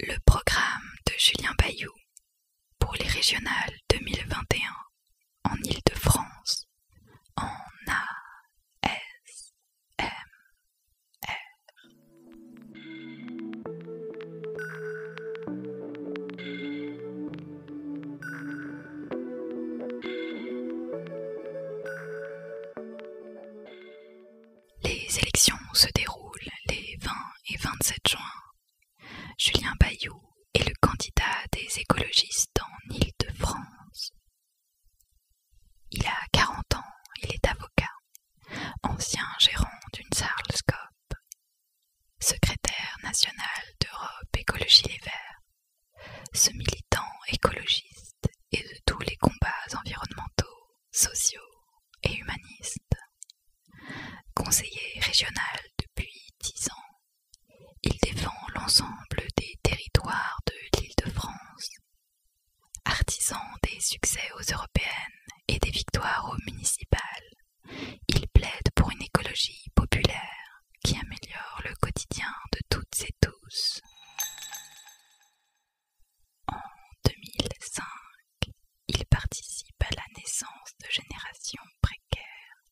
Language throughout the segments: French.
Le programme de Julien Bayou pour les régionales 2021 en Île-de-France en ASMR. Les élections se déroulent les 20 et 27 juin. Julien Bayou est le candidat des écologistes en Île-de-France. Il a 40 ans, il est avocat, ancien gérant d'une Sarlescope, secrétaire national d'Europe Écologie Les Verts. Ce militant écologiste et de tous les combats environnementaux sociaux et humanistes. Conseiller régional depuis dix ans, il défend l'ensemble des territoires de l'Île-de-France. Artisan des succès aux européennes et des victoires aux municipales, il plaide pour une écologie populaire qui améliore le quotidien de toutes et tous. En 2005, il participe à la naissance de Génération Précaire,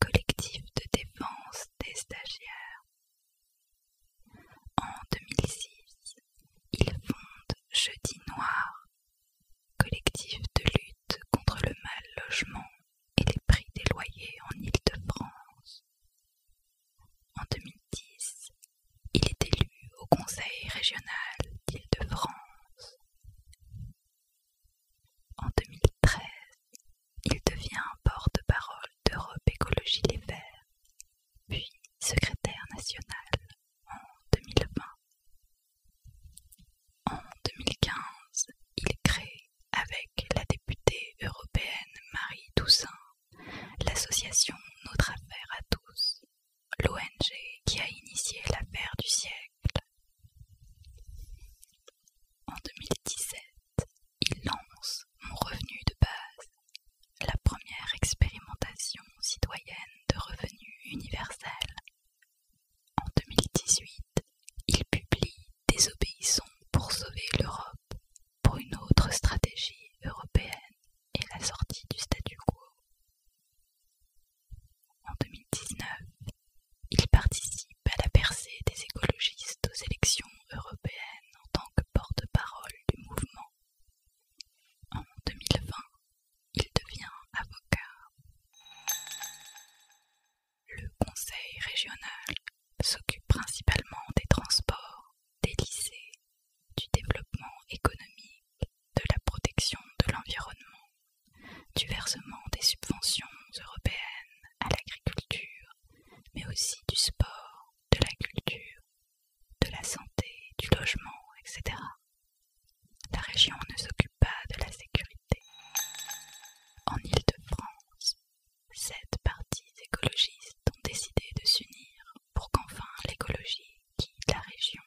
collectif de défense des stagiaires. En 2006, il fonde Jeudi Noir, collectif de lutte contre le mal logement et les prix des loyers en Île-de-France. En 2010, il est élu au Conseil régional d'Île-de-France. En 2013, il devient porte-parole d'Europe Écologie Les Verts, puis secrétaire national en 2020. En 2015, il crée avec la députée européenne Marie Toussaint l'association Notre Affaire à tous, l'ONG qui a initié l'affaire du siècle. En 2017, il lance Mon revenu de base, la première expérimentation citoyenne de revenu universel. En 2018, il publie Désobéissons pour sauver l'Europe, pour une autre stratégie européenne et la sortie du statu quo. En 2019, il participe à la percée des écologistes aux élections européennes en tant que porte-parole du mouvement. En 2020, il devient avocat. Le Conseil régional s'occupe principalement des transports des lycées, du développement économique, de la protection de l'environnement, du versement des subventions européennes à l'agriculture, mais aussi du sport, de la culture, de la santé, du logement, etc. La région ne s'occupe pas de la sécurité. En ile de france sept partie écologistes ont décidé de s'unir pour qu'enfin l'écologie quitte la région.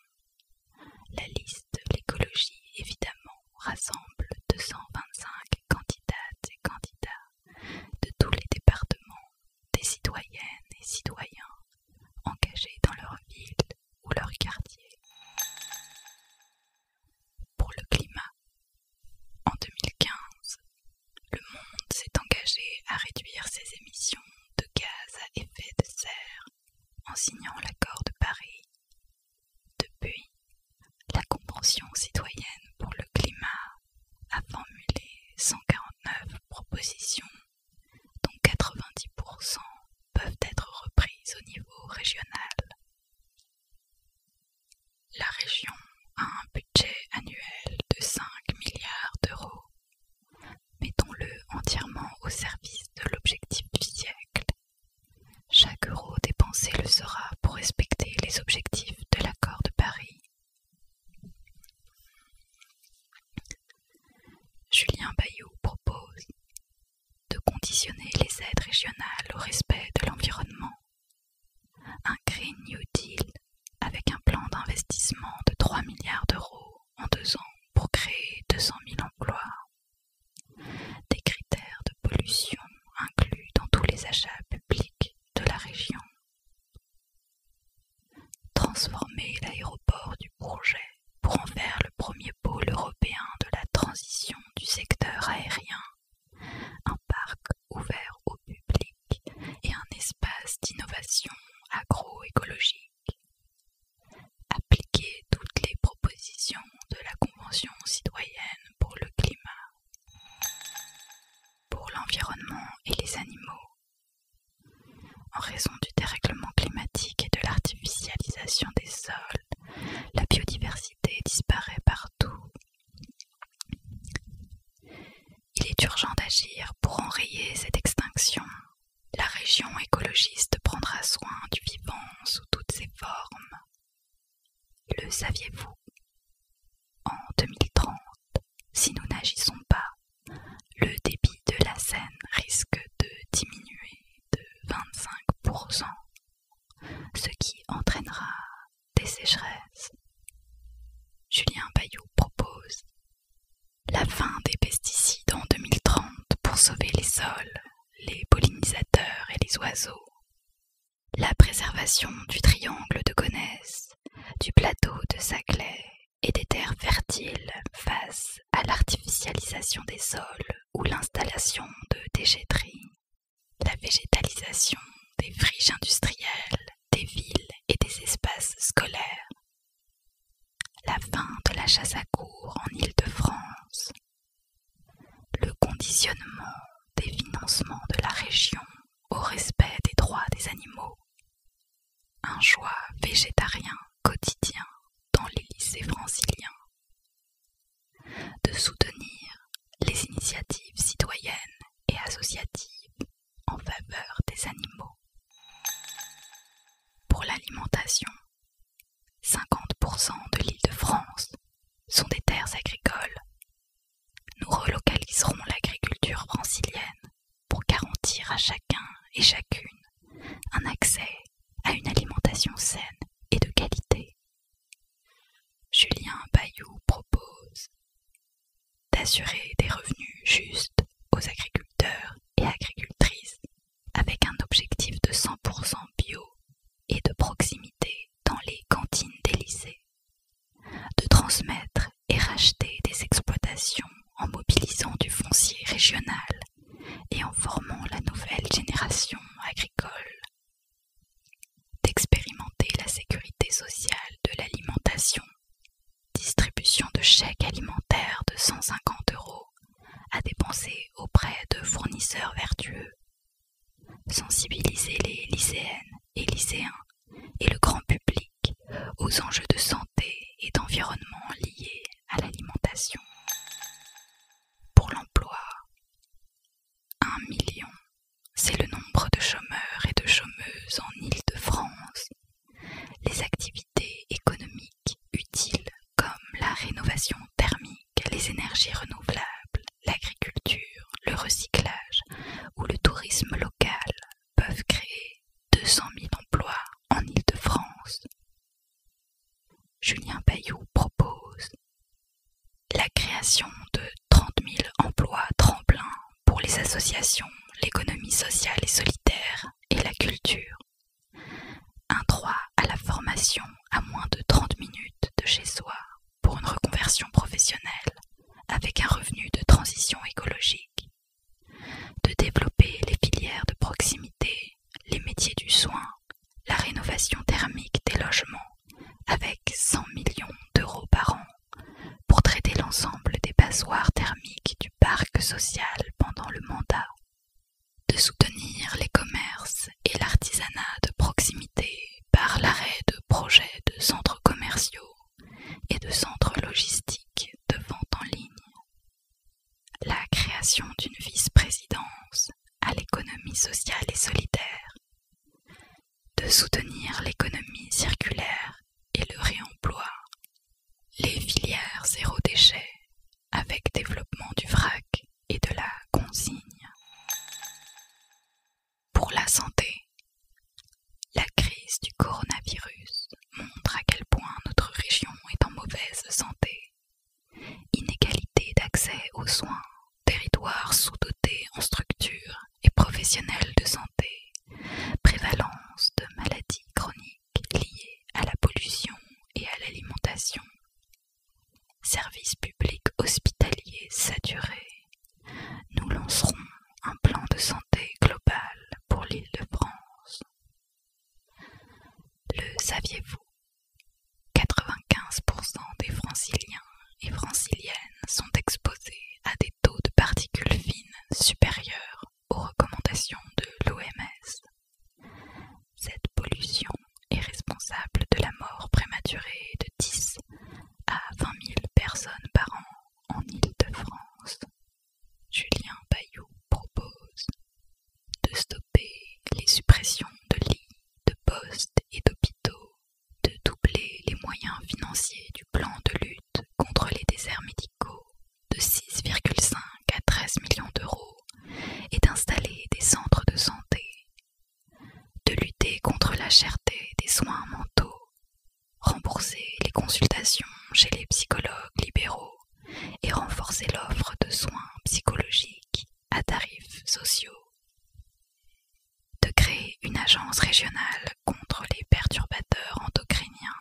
La liste de l'écologie, évidemment, rassemble 225 candidates et candidats de tous les départements, des citoyennes et citoyens engagés dans leur ville ou leur quartier. Pour le climat, en 2015, le monde s'est engagé à réduire ses émissions de gaz à effet de serre en signant l'accord de Paris. Depuis, la Convention citoyenne pour le climat a formulé 149 propositions dont 90% peuvent être reprises au niveau régional. La région a un budget annuel de 5 milliards d'euros. Mettons-le entièrement au service de l'objectif du siècle. Chaque euro dépensé le sera pour respecter les objectifs de l'accord de Paris. Julien Bayou propose de conditionner les aides régionales au respect de l'environnement un Green New Deal avec un plan d'investissement de 3 milliards d'euros en deux ans pour créer 200 000 emplois. Des critères de pollution inclus dans tous les achats publics de la région. Transformer l'aéroport du projet pour en faire le premier pôle européen de la transition du secteur aérien un parc ouvert au public et un espace d'innovation agroécologique. Appliquer toutes les propositions de la Convention citoyenne pour le climat, pour l'environnement et les animaux. En raison du dérèglement climatique et de l'artificialisation des sols, la biodiversité disparaît partout. Il est urgent d'agir pour enrayer cette extinction. La région écologiste prendra soin du vivant sous toutes ses formes. Le saviez-vous En 2030, si nous n'agissons pas, le débit de la Seine risque de diminuer de 25%, ce qui entraînera des sécheresses. Julien Bayou propose la fin des pesticides en 2030 pour sauver les sols, les pollinisateurs et les oiseaux, la préservation du triangle de Gonesse, du plateau de Saclay et des terres fertiles face à l'artificialisation des sols ou l'installation de déchetteries la végétalisation des friches industrielles, des villes et des espaces scolaires, la fin de la chasse à cours en Île-de-France, le conditionnement des financements de la région au respect des droits des animaux, un choix végétarien quotidien dans les lycées franciliens, de soutenir les initiatives citoyennes et associative en faveur des animaux. Pour l'alimentation, 50% de l'île de France sont des terres agricoles. Nous relocaliserons l'agriculture francilienne pour garantir à chacun et chacune un accès à une alimentation saine et de qualité. Julien Bayou propose d'assurer des revenus justes aux agriculteurs et agricultrices avec un objectif de 100% bio et de proximité dans les cantines des lycées, de transmettre et racheter des exploitations en mobilisant du foncier régional et en formant la nouvelle génération agricole d'expérimenter la sécurité sociale de l'alimentation, distribution de chèques alimentaires de 150 euros à dépenser auprès de fournisseurs vertueux, sensibiliser les lycéennes et lycéens et le grand public aux enjeux de santé et d'environnement liés à l'alimentation. Pour l'emploi, un million, c'est le nombre de chômeurs et de chômeuses en Île-de-France. Les activités économiques utiles comme la rénovation thermique, les énergies renouvelables, l'agriculture, le recyclage ou le tourisme local peuvent créer 200 000 emplois en Île-de-France. Julien Bayou propose la création de 30 000 emplois tremplins pour les associations, l'économie sociale et solitaire et la culture. Un droit à la formation à moins de 30 minutes de chez soi pour une reconversion professionnelle avec un revenu de transition écologique. De développer les filières de proximité, les métiers du soin, la rénovation thermique des logements avec 100 millions d'euros par an pour traiter l'ensemble des passoires thermiques du parc social pendant le mandat, de soutenir les commerces et l'artisanat de proximité par l'arrêt de projets de centres commerciaux et de centres logistiques de vente en ligne, la création d'une vice-présidence à l'économie sociale et solidaire de soutenir l'économie circulaire et le réemploi, les filières zéro déchet avec développement du vrac et de la consigne. Pour la santé, la crise du coronavirus montre à quel point notre région est en mauvaise santé. Inégalité d'accès aux soins territoire sous-doté en structure et professionnels de santé, prévalence de maladies chroniques liées à la pollution et à l'alimentation, services publics hospitaliers saturés. Nous lancerons un plan de santé global pour l'île de France. Le saviez-vous 95% des franciliens et franciliennes sont exposés à des taux de particules fines supérieurs aux recommandations de l'OMS. Cette pollution est responsable de la mort prématurée de 10 à 20 000 personnes par an en Île-de-France. Julien Bayou propose de stopper les suppressions de lits de postes et d'hôpitaux, de doubler les moyens financiers du plan de lutte contre les déserts médicaux de 6,5 à 13 millions d'euros et d'installer des centres de santé, de lutter contre la cherté des soins mentaux, rembourser les consultations chez les psychologues libéraux et renforcer l'offre de soins psychologiques à tarifs sociaux de créer une agence régionale contre les perturbateurs endocriniens,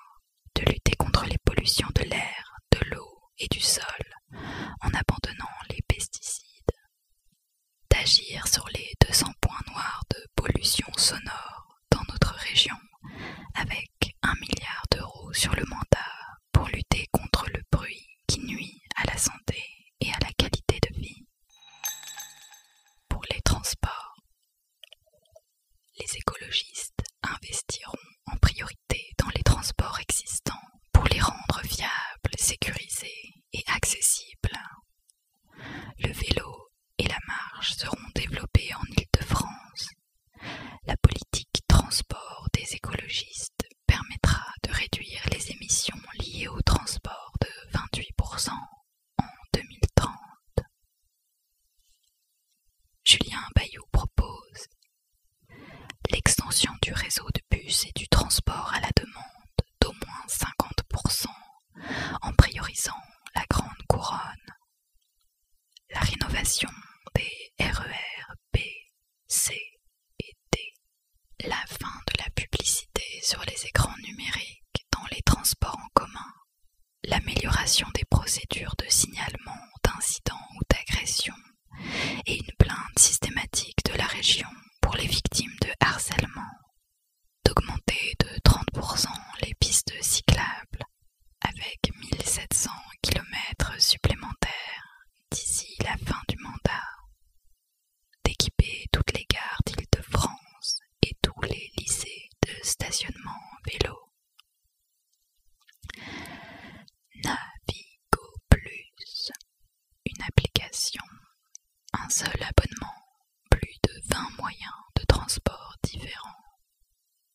de lutter contre les pollutions de l'air, de l'eau et du sol en abandonnant les pesticides, d'agir sur les 200 points noirs de pollution sonore dans notre région avec un milliard d'euros sur le mandat pour lutter contre le bruit qui nuit à la santé et à la qualité de vie. Pour les transports, les écologistes investiront en priorité dans les transports existants pour les rendre viables, sécurisés et accessibles. Le vélo et la marche seront développés en Île-de-France. La politique transport des écologistes permettra de réduire les émissions liées au transport de 28% en 2030. Julien Bayou propose l'extension du réseau de bus et du transport à la demande d'au moins 50% en priorisant la grande couronne, la rénovation des RER e C D. la fin de la publicité sur les écrans numériques dans les transports en commun, l'amélioration des procédures de signalement d'incidents ou d'agressions et une plainte systématique de la région pour les victimes de harcèlement, d'augmenter de 30% les pistes cyclables avec 1700 km supplémentaires d'ici la fin du mandat, d'équiper toutes les gares d'Île-de-France et tous les lycées de stationnement vélo. Navigo Plus, une application, un seul abonnement, plus de 20 moyens de transport différents,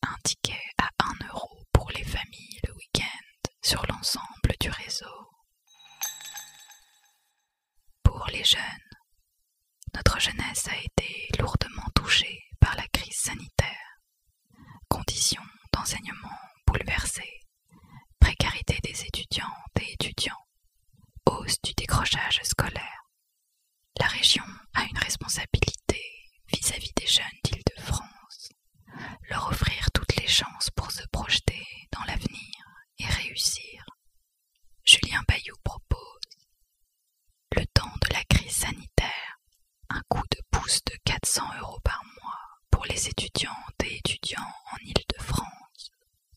un ticket à 1 euro pour les familles le week-end, sur l'ensemble du réseau. Pour les jeunes, notre jeunesse a été lourdement touchée par la crise sanitaire, conditions d'enseignement bouleversées, précarité des étudiantes et étudiants, hausse du décrochage scolaire. La région a une responsabilité vis-à-vis des jeunes d'Île-de-France leur offrir toutes les chances pour se projeter dans l'avenir et réussir. Julien Bayou propose le temps de la crise sanitaire, un coup de pouce de 400 euros par mois pour les étudiantes et étudiants en Île-de-France,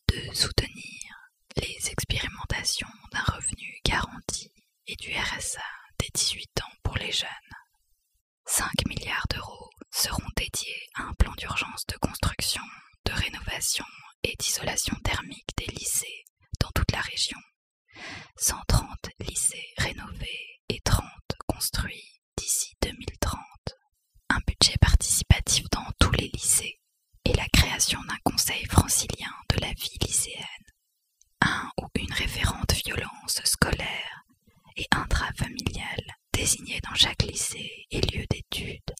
de soutenir les expérimentations d'un revenu garanti et du RSA des 18 ans pour les jeunes, 5 milliards d'euros seront dédiés à un plan d'urgence de construction, de rénovation et d'isolation thermique des lycées dans toute la région. 130 lycées rénovés et 30 construits d'ici 2030. Un budget participatif dans tous les lycées et la création d'un conseil francilien de la vie lycéenne. Un ou une référente violence scolaire et intrafamiliales désigné dans chaque lycée et lieu d'études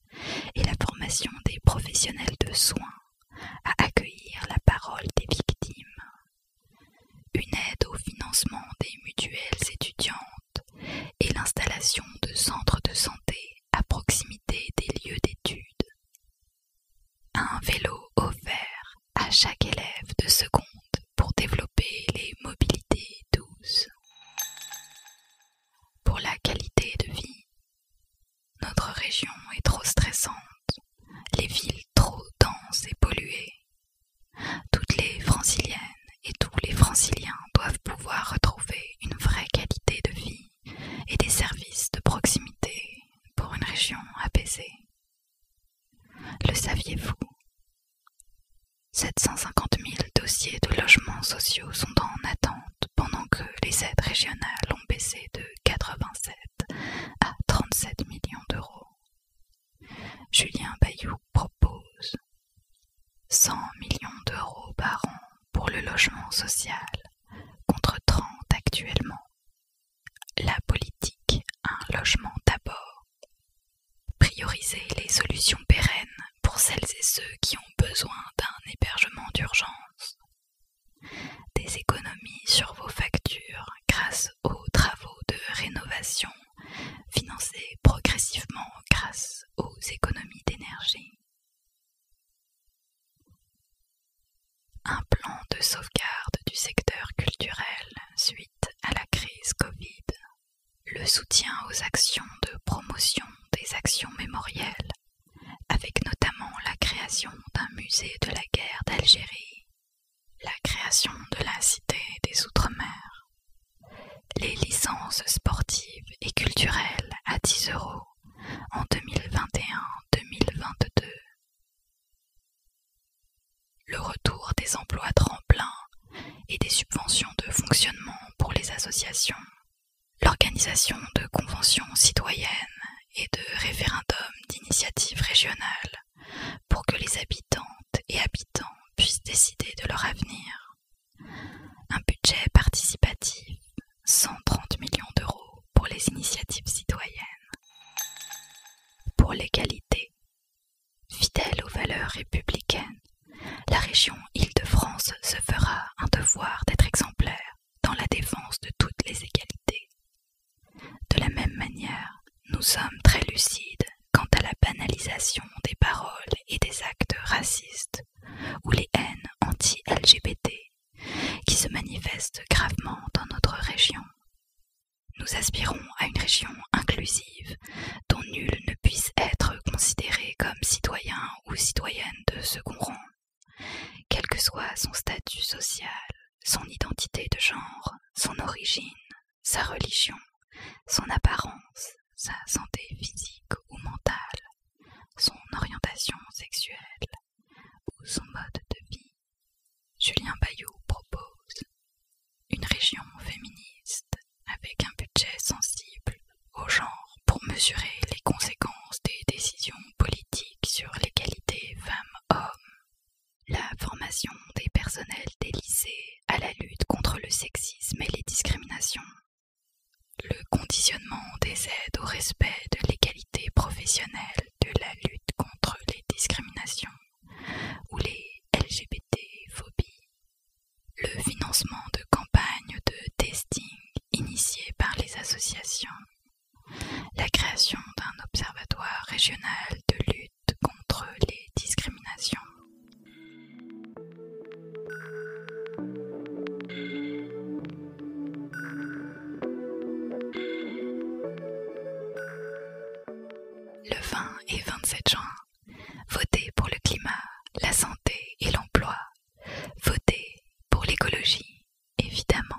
et la formation des professionnels de soins à accueillir la parole des victimes. Une aide au financement des mutuelles étudiantes et l'installation de centres de santé à proximité des lieux d'études. Un vélo offert à chaque élève de seconde pour développer les mobilités douces. Pour la qualité de vie, notre région est trop stressante, les villes trop denses et polluées. Toutes les franciliennes et tous les franciliens doivent pouvoir retrouver une vraie qualité de vie et des services de proximité pour une région apaisée. Le saviez-vous 750 000 dossiers de logements sociaux sont en attente pendant que les aides régionales ont baissé de 87 à 37 millions d'euros. Julien Bayou propose 100 millions d'euros par an pour le logement social contre 30 actuellement la politique, un logement d'abord. Prioriser les solutions pérennes pour celles et ceux qui ont besoin d'un hébergement d'urgence. Des économies sur vos factures grâce aux travaux de rénovation financés progressivement grâce aux économies d'énergie un plan de sauvegarde du secteur culturel suite à la crise Covid, le soutien aux actions de promotion des actions mémorielles, avec notamment la création d'un musée de la guerre d'Algérie, la création de la Cité des Outre-mer, les licences sportives et culturelles à 10 euros en 2021-2022. Le retour des emplois tremplins et des subventions de fonctionnement pour les associations, l'organisation de conventions citoyennes et de référendums d'initiative régionales pour que les habitantes et habitants puissent décider de leur avenir. Un budget participatif, 130 millions d'euros pour les initiatives citoyennes. Pour l'égalité, fidèle aux valeurs républicaines, la région Île-de-France se fera un devoir d'être exemplaire dans la défense de toutes les égalités. De la même manière, nous sommes très lucides quant à la banalisation des paroles et des actes racistes ou les haines anti-LGBT qui se manifestent gravement dans notre région. Nous aspirons à une région inclusive dont nul ne puisse être considéré comme citoyen ou citoyenne de second rang, quel que soit son statut social, son identité de genre, son origine, sa religion, son apparence, sa santé physique ou mentale, son orientation sexuelle ou son mode de vie. Julien Bayou propose une région féministe avec un budget sensible au genre pour mesurer les conséquences des décisions politiques sur l'égalité femmes-hommes, la formation des personnels des lycées à la lutte contre le sexisme et les discriminations, le conditionnement des aides au respect de l'égalité professionnelle de la lutte contre les discriminations ou les LGBT-phobies, le financement de campagnes de testing initiées par les associations, la création d'un observatoire régional de lutte contre les discriminations. Le 20 et 27 juin, votez pour le climat, la santé et l'emploi. Votez pour l'écologie, évidemment.